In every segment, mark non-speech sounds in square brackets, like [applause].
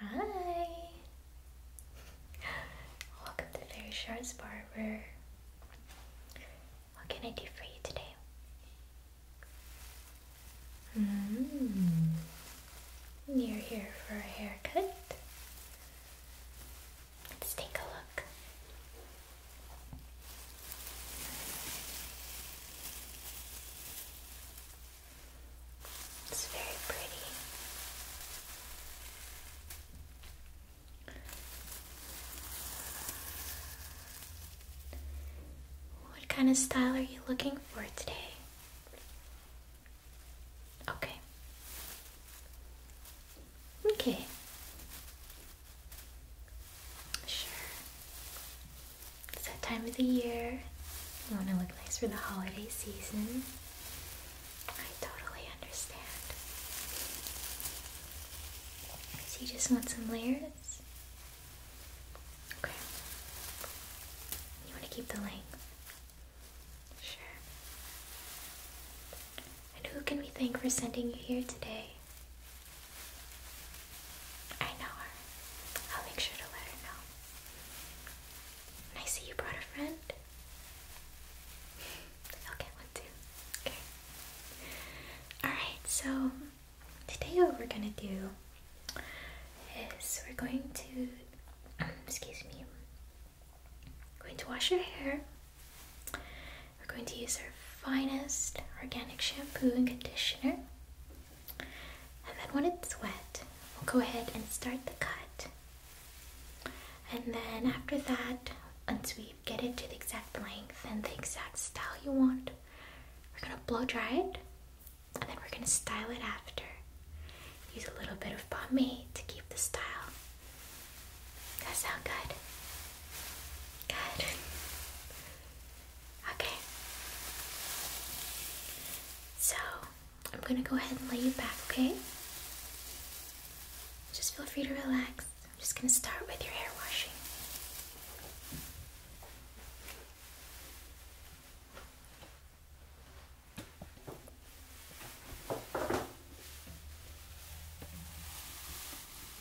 Hi! Welcome to Fairy Shards Barber. What can I do for you today? Hmm. You're here for a haircut? Let's take a look. It's very pretty. What kind of style are you looking for today? Okay. Okay. Sure. It's that time of the year. You want to look nice for the holiday season. I totally understand. So you just want some layers? Okay. You want to keep the length? Sure. And who can we thank for sending you here today? I know her. I'll make sure to let her know. And I see you brought a friend. I'll get one too. Okay. Alright, so today what we're gonna do is we're going to [clears throat] excuse me. going to wash your hair. We're going to use our finest organic shampoo and conditioner. And then when it's wet, we'll go ahead and start the cut. And then after that, once we get it to the exact length and the exact style you want, we're gonna blow dry it and then we're gonna style it after. Use a little bit of pomade to keep the style. Does that sound good? Good. Okay. So, I'm gonna go ahead and lay you back, okay? Just feel free to relax. I'm just gonna start with your hair washing.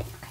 Okay.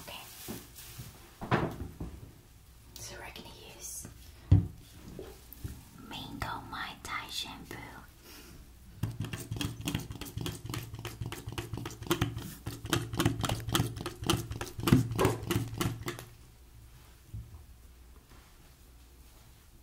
Okay. So we're gonna use Mango Mai Tai shampoo.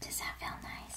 Does that feel nice?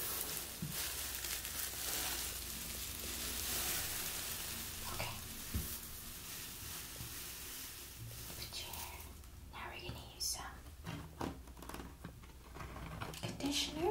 Okay. Now we're gonna use some conditioner.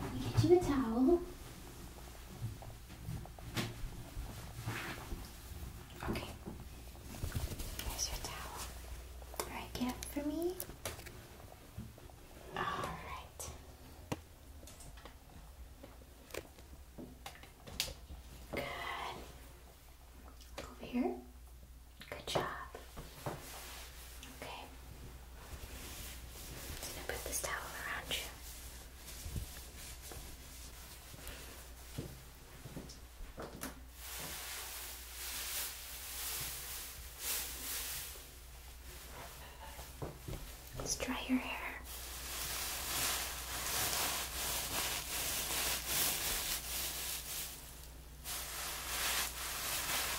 Let me get you a towel. Okay. Here's your towel. Alright, get up for me. Alright. Good. over here. Good job. Okay. I'm going to put this towel around you. Let's dry your hair.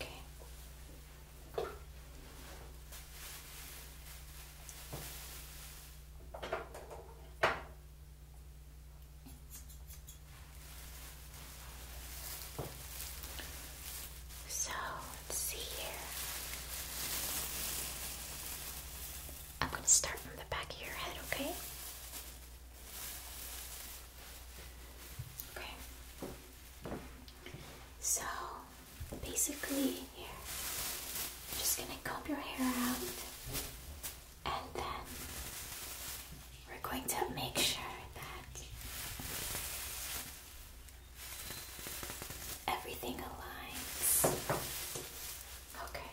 Okay. So let's see here. I'm going to start from the back of your head, okay? Okay. So basically here, I'm just gonna comb your hair out and then we're going to make sure that everything aligns. Okay.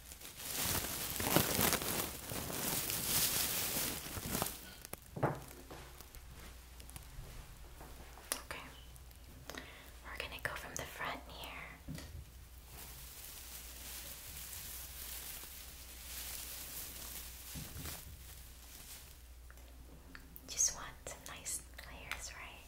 Okay. We're going to go from the front here. Just want some nice layers, right?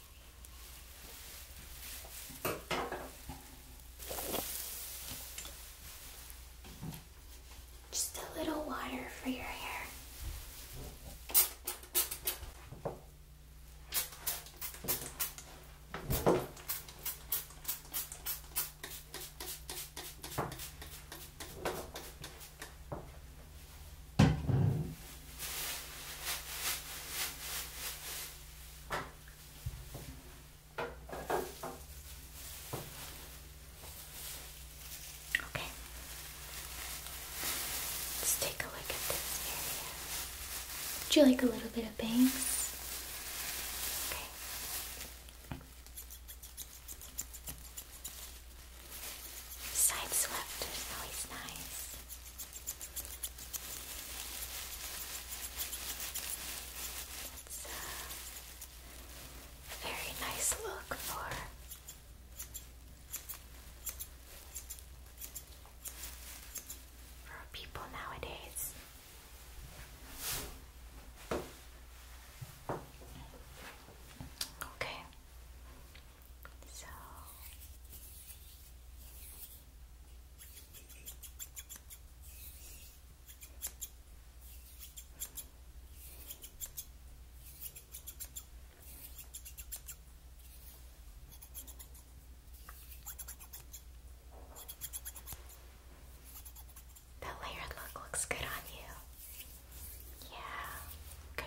Just a little water for your hair. Okay. Let's take a look at this area. Would you like a little bit of bangs? Okay. Side swept is always nice. It's a very nice look for for people nowadays. Okay. So that layered look looks good on you. Yeah, okay.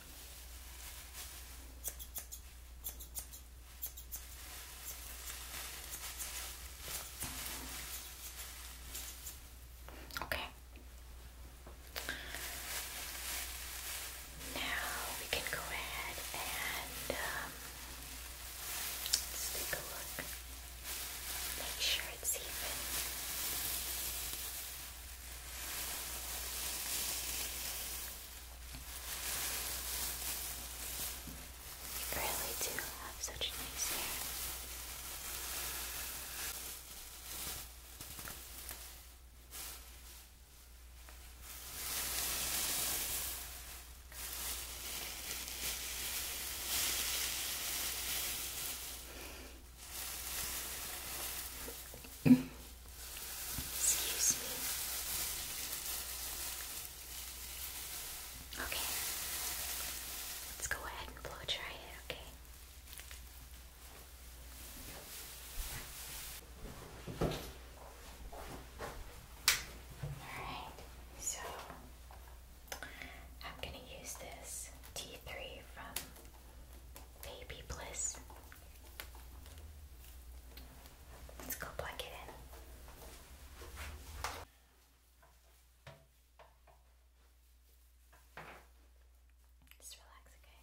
Okay. Now we can go ahead and um, take a look. Make sure it's even. You really do have such nice hair. [clears throat] Excuse me. Okay. Let's go ahead and blow dry it, okay? Alright, so I'm gonna use this T3 from Baby Bliss Let's go plug it in. Just relax, okay?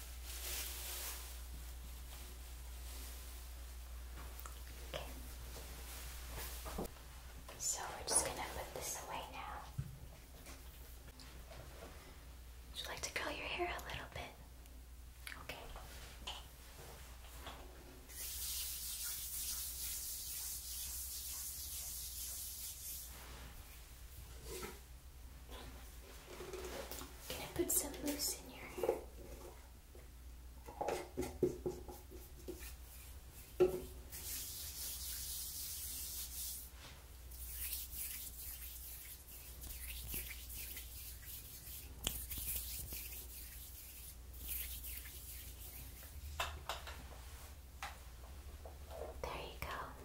So we're just gonna put this away now. Would you like to curl your hair a little bit? Okay. Can I put some loose in your hair? There you go.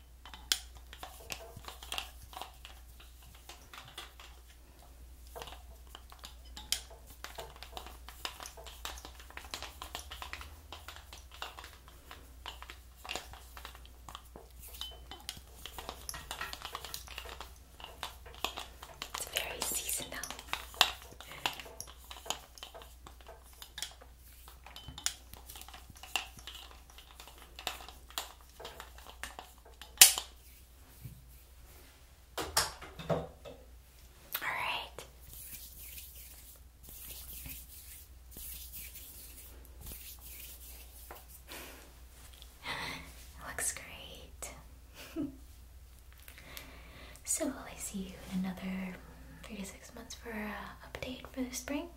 It's very seasonal. All right. [laughs] Looks great. [laughs] so, will see you in another three to six months for an uh, update for the spring?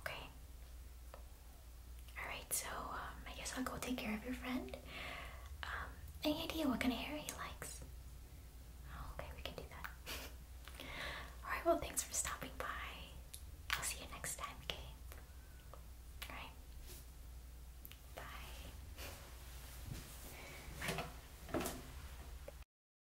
Okay. Alright, so um, I guess I'll go take care of your friend. Um, any idea what kind of hair he likes? Oh, okay, we can do that. [laughs] Alright, well, thanks for stopping by. I'll see you next time, okay? Alright. Bye.